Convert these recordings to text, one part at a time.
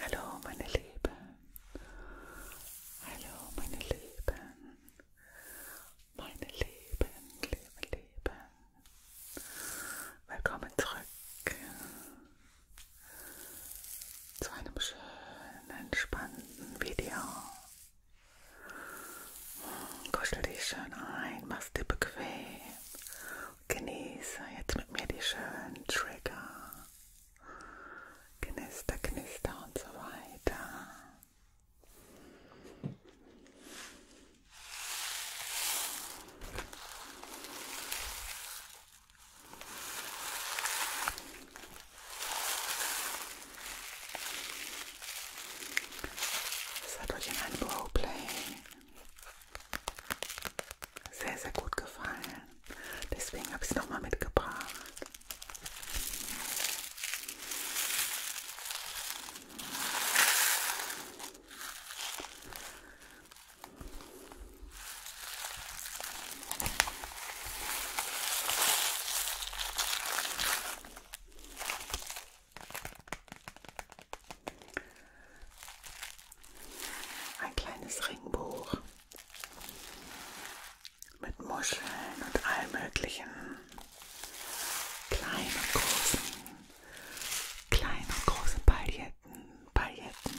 Hallo meine Lieben, hallo meine Lieben, meine Lieben, liebe Lieben, willkommen zurück zu einem schönen, entspannten Video. Kuschel dich schön ein, mach's dir bequem Genieße jetzt mit mir die schönen Trigger. Knister, knister und so weiter. Es hat euch in einem Roleplay sehr, sehr gut gefallen. Deswegen habe ich es nochmal mitgebracht. Ein kleines Ringbuch mit Muscheln und all möglichen kleinen und großen, kleinen und großen Pailletten, Pailletten.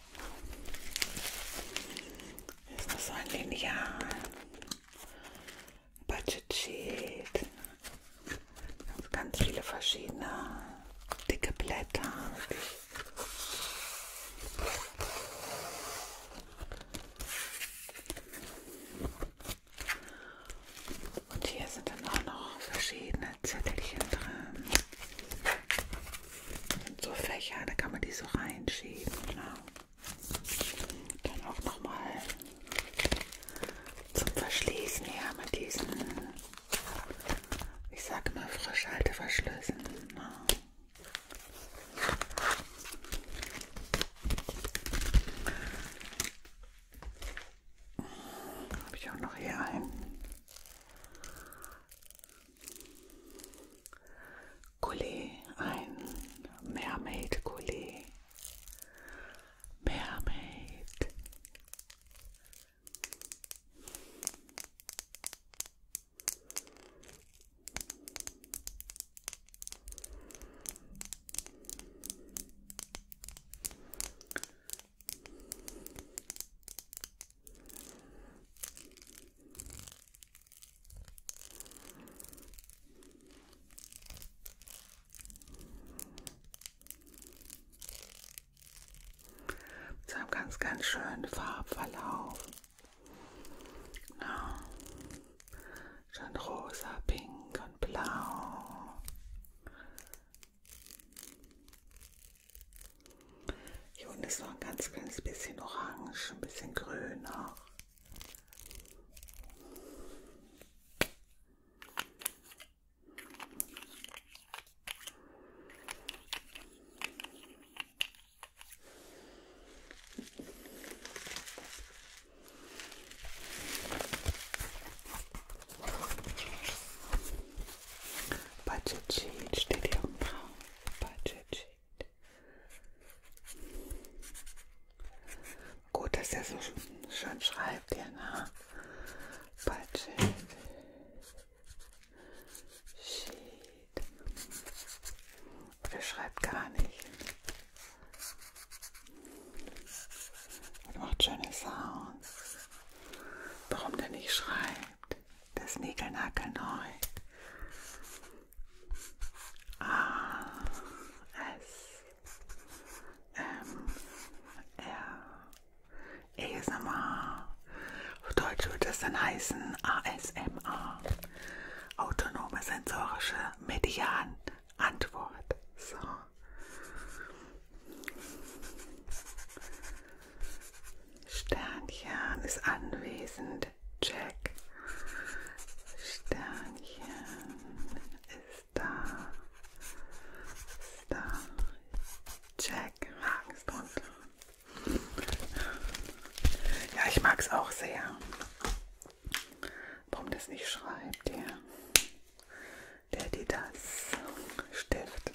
Ist das ein Lineal? Budget Sheet. Ganz, ganz viele verschiedene dicke Blätter. Und hier sind dann auch noch verschiedene Zettelchen drin so Fächer, da kann man die so reinschieben. Ne? Dann auch nochmal zum Verschließen her mit diesen, ich sage mal, Frischhalteverschlüssen. Ne? Habe ich auch noch hier einen. Collet, ein Mermaid Collet. Mermaid. Mit einem ganz, ganz schönen Farbverlauf. Ja. Schon rosa, pink und blau. Hier unten ist noch ein ganz kleines bisschen orange, ein bisschen grün auch. Budget steht hier im Raum. Budget Gut, dass er so schön schreibt, ja, ne? Budget. Sheet. Oder schreibt gar nicht. Und macht schöne Sounds. Warum der nicht schreibt? Das Nägelnackel neu. A S M R ASMR. Auf Deutsch würde es dann heißen ASMR. Autonome sensorische Median Antwort. So. Sternchen ist anwesend. Check. Sternchen ist da. Ist da. Check. Haken ist drunter. Ja, ich mag es auch sehr. Warum das nicht schreibt, der, der, die das Stift.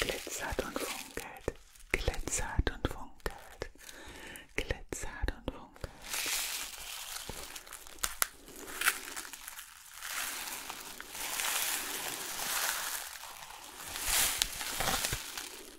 Glitzert und funkelt, glitzert und funkelt, glitzert und funkelt.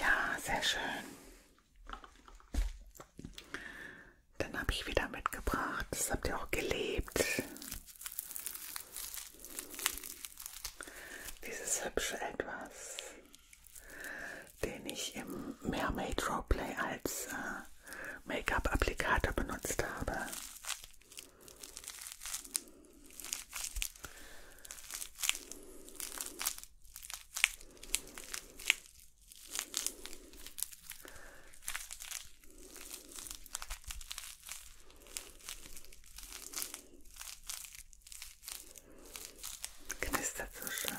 Ja, sehr schön. Dann habe ich wieder mitgebracht. Das habt ihr auch gelebt. Dieses hübsche Etwas den ich im Mermaid Roleplay als äh, Make-up-Applikator benutzt habe. Knistert so schön.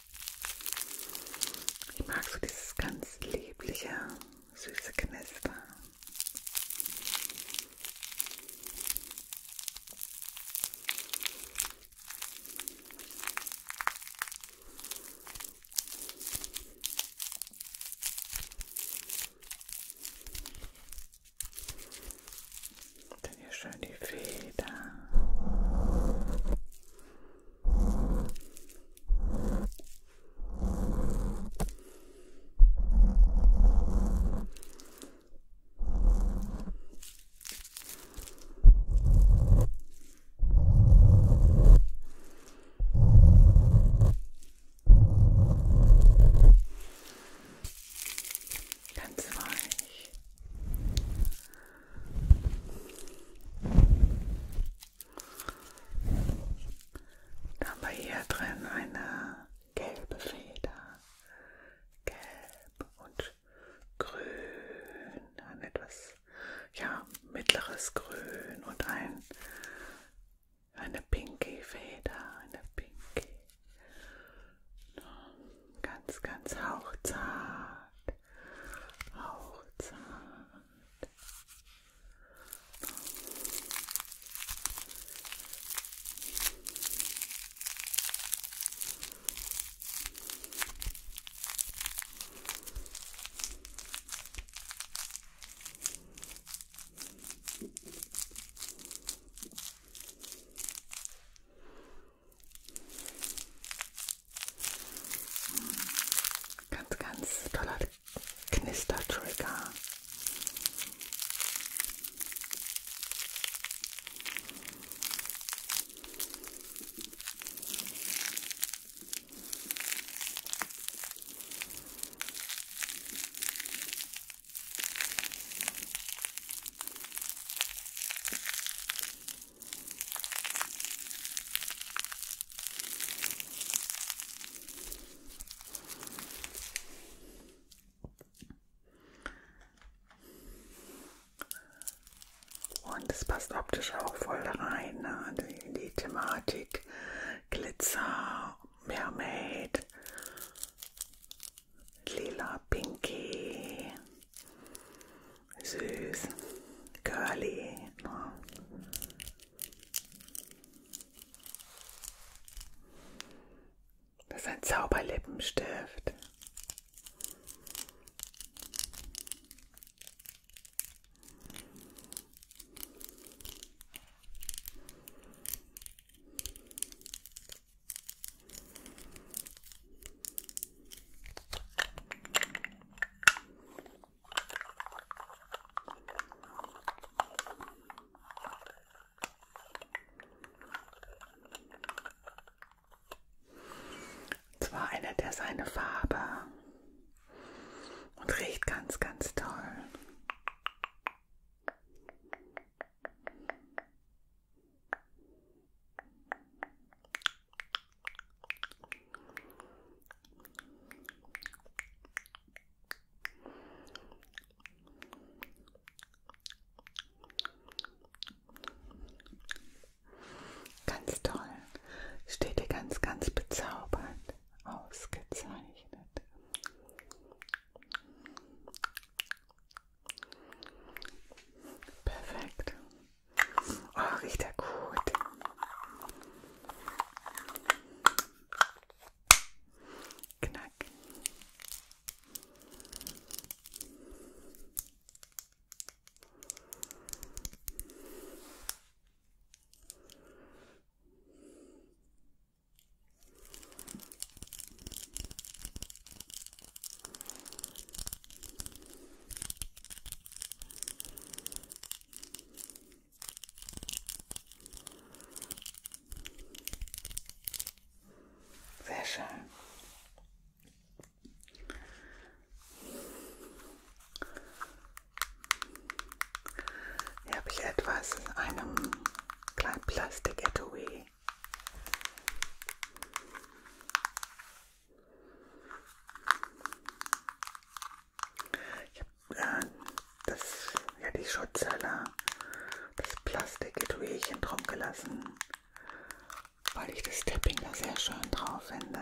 Ich mag so dieses ganz liebliche, süße Knister. Dann hier schön die Feder. Ganz weich. Da haben wir hier drin eine gelbe Feder. Gelb und grün. Ein etwas ja, mittleres Grün und ein, eine pinky Feder. Eine pinky. Ganz, ganz hauchzart. Hauchzart. Ganz, ganz toller Knistertrigger. Und es passt optisch auch voll rein ne? Also in die Thematik Glitzer, Mermaid, lila, pinky süß, curly. Ne? Das ist ein Zauberlippenstift. Und zwar ändert er seine Farbe und riecht ganz, ganz toll. Ganz toll. Steht dir ganz, ganz bezaubernd. Ausgezeichnet. Perfekt. Oh, riecht er gut. Knack. Sehr schön. Hier habe ich etwas in einem kleinen Plastik-Etui ich habe äh, das, ja die Schutzhölle, das Plastikgetuierchen drum gelassen, weil ich das Tapping da sehr schön drauf finde.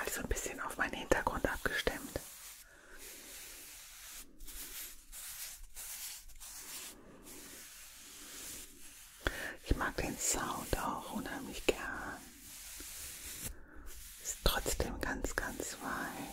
Also ein bisschen auf meinen Hintergrund abgestimmt. Ich mag den Sound auch unheimlich gern. Ist trotzdem ganz, ganz weich.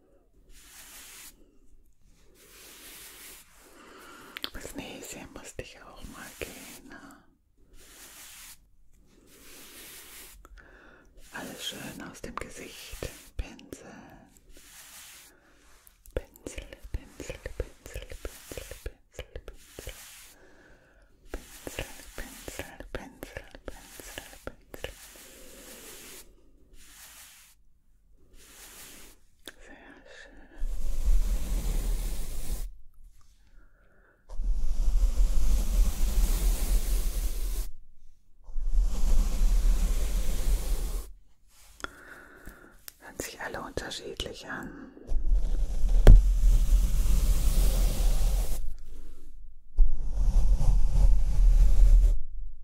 Bis Näschen musste ich auch mal gehen. Ne? Alles schön aus dem Gesicht. Pinsel. Pinsel, Pinsel, Pinsel, Pinsel, Pinsel, Pinsel. Pinsel, Pinsel, Pinsel, Pinsel, Pinsel. Sehr schön. Hören sich alle unterschiedlich an.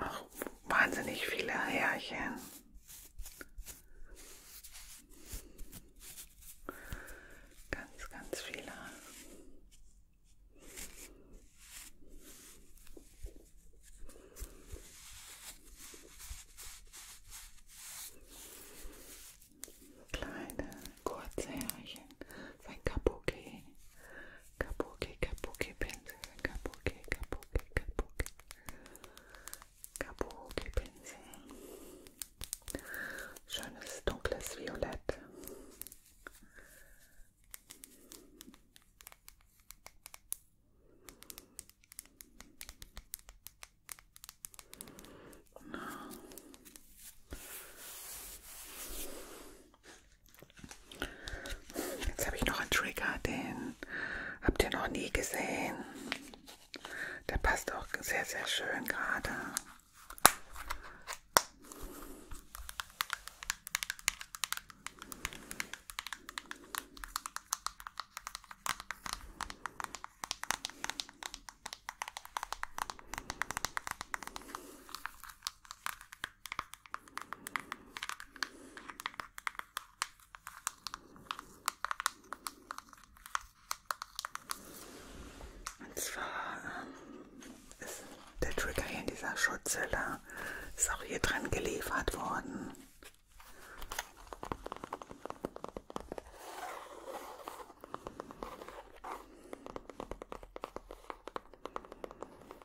Ach, wahnsinnig viele Härchen. Ganz, ganz viele. Kleine, kurze Härchen. Sein Kapuke. Kabuki, kabuki pensel, kabuki, kabuki, kabuki, kabuki Schönes dunkles Violett. Jetzt habe ich noch einen Trigger, den habt ihr noch nie gesehen. Der passt auch sehr, sehr schön gerade. Und zwar ähm, ist der Trigger hier in dieser Schutzhülle ist auch hier drin geliefert worden.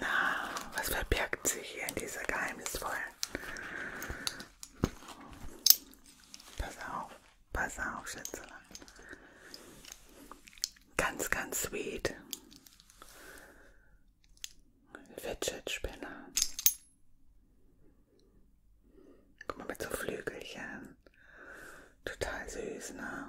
Na, was verbirgt sich hier in dieser geheimnisvollen? Pass auf, pass auf, Schätzelein. Ganz, ganz sweet. Fidget-Spinner. Guck mal, mit so Flügelchen. Total süß, ne?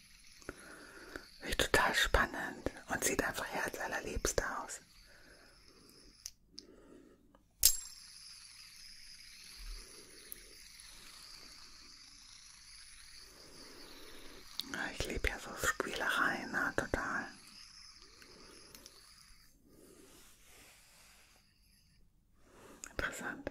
Echt total spannend und sieht einfach herzallerliebst aus. Ich liebe ja so Spielereien, na, ne, total. Interessant.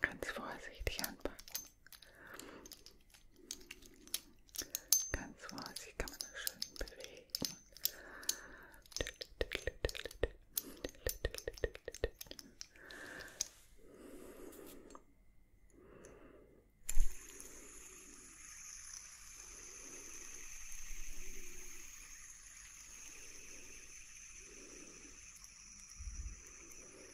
Ganz vorsichtig anpacken. Ganz vorsichtig kann man das schön bewegen.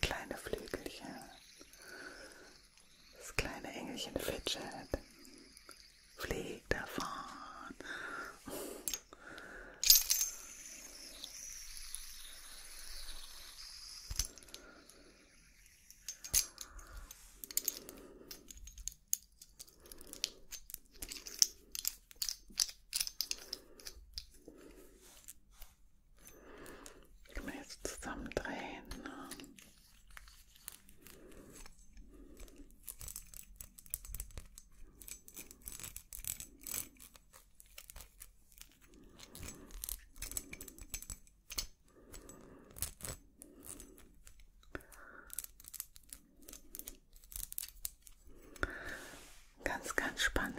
kleine Flügelchen, das kleine Engelchen Fidget fliegt davon. Kann man jetzt zusammendrehen. Ne? Ganz, ganz spannend.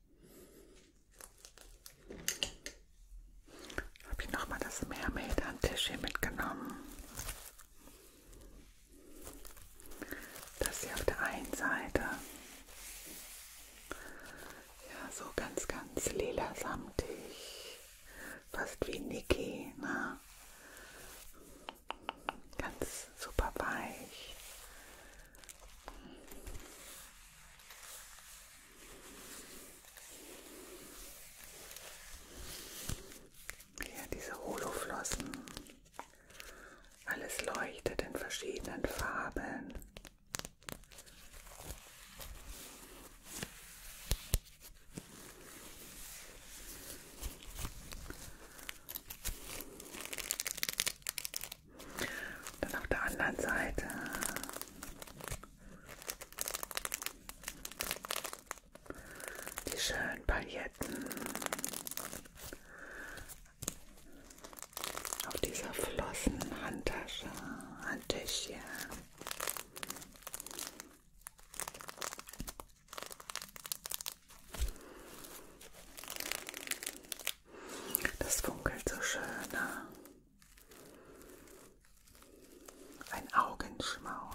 Habe ich nochmal das Mermaid-Handtisch hier mitgenommen. Das hier auf der einen Seite. Ja, so ganz, ganz lila samtig. Fast wie Niki, ne? Ganz super weich. Ja, diese Holoflossen. Alles leuchtet in verschiedenen Farben. Dann auf der anderen Seite. Die schönen Pailletten auf dieser Flossen Handtasche, Handtäschchen. Das funkelt so schön. Ne? Ein Augenschmaus.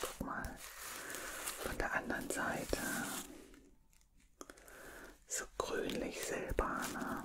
Guck mal, von der anderen Seite so grünlich silberner.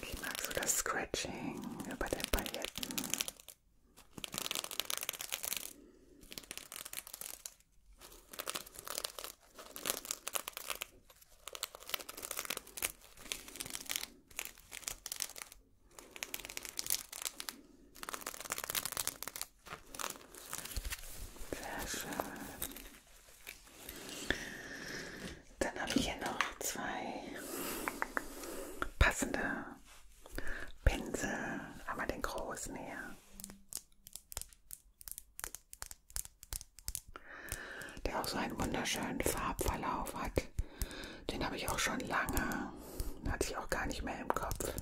Wie magst du das Scratching über den Paletten? Sehr schön. Dann habe ich hier noch zwei passende Pinsel, aber den großen her. Der auch so einen wunderschönen Farbverlauf hat. Den habe ich auch schon lange. Den hatte ich auch gar nicht mehr im Kopf.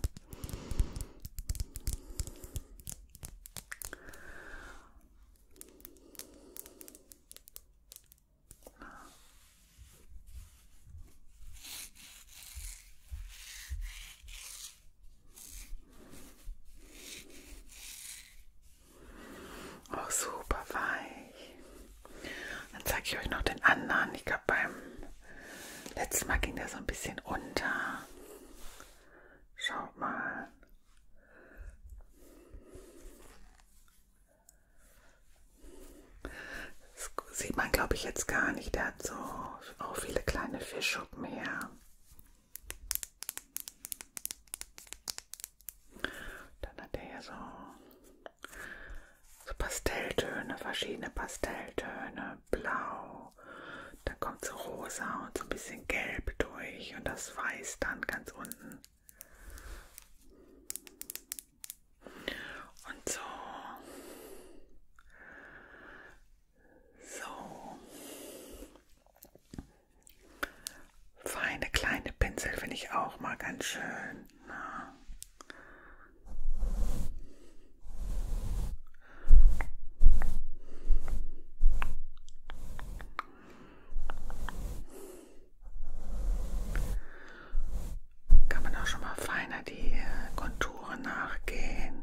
Auch oh, super weich. Dann zeige ich euch noch den anderen. Ich glaube, beim letzten Mal ging der so ein bisschen unter. Schaut mal. Das sieht man, glaube ich, jetzt gar nicht. Der hat so auch viele kleine Fischschuppen her. Dann hat er hier so, so Pastelltöne, verschiedene Pastelltöne, blau. Dann kommt so rosa und so ein bisschen bisschen gelb durch und das Weiß dann ganz unten. Und so. So. Feine kleine Pinsel finde ich auch mal ganz schön. Na. Ne? Kann man auch schon mal feiner die Konturen nachgehen.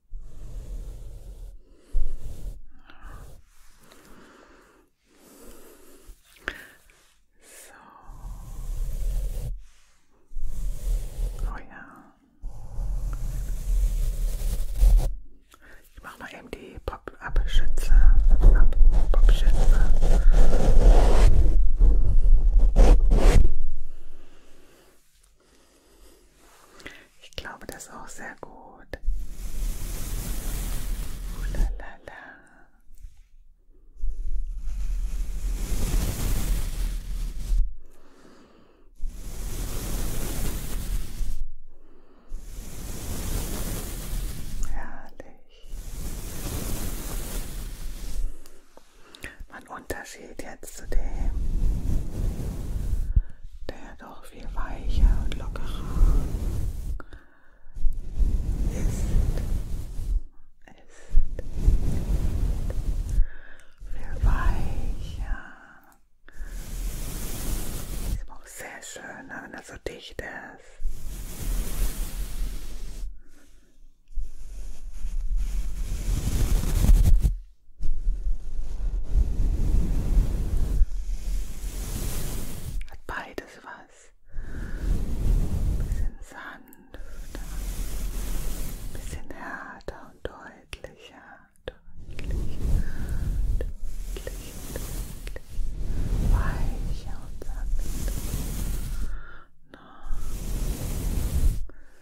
So. Oh ja. Ich mache mal eben die Pop-Up-Schütze. Pop-Up-Schütze. Ich glaube, das ist auch sehr gut. Oh, la, la, la. Herrlich mein Unterschied jetzt zu dem, der doch viel weicher und lockerer ist, ist viel weicher. Ist auch sehr schön, ne, wenn er so dicht ist. Hat beides was. Ein bisschen sanfter, ein bisschen härter und deutlicher, deutlicher, deutlicher, deutlicher, weicher und sanfter. No.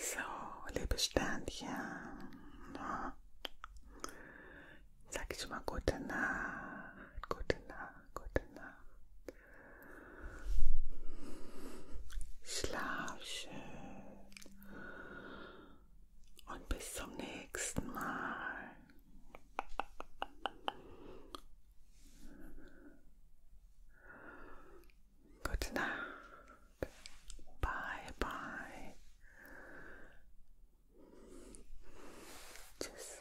So, liebe Sternchen, sag ich mal gute Nacht, gute Nacht, gute Nacht. Schlaf schön. Und bis zum nächsten Mal. Gute Nacht. Bye, bye. Tschüss.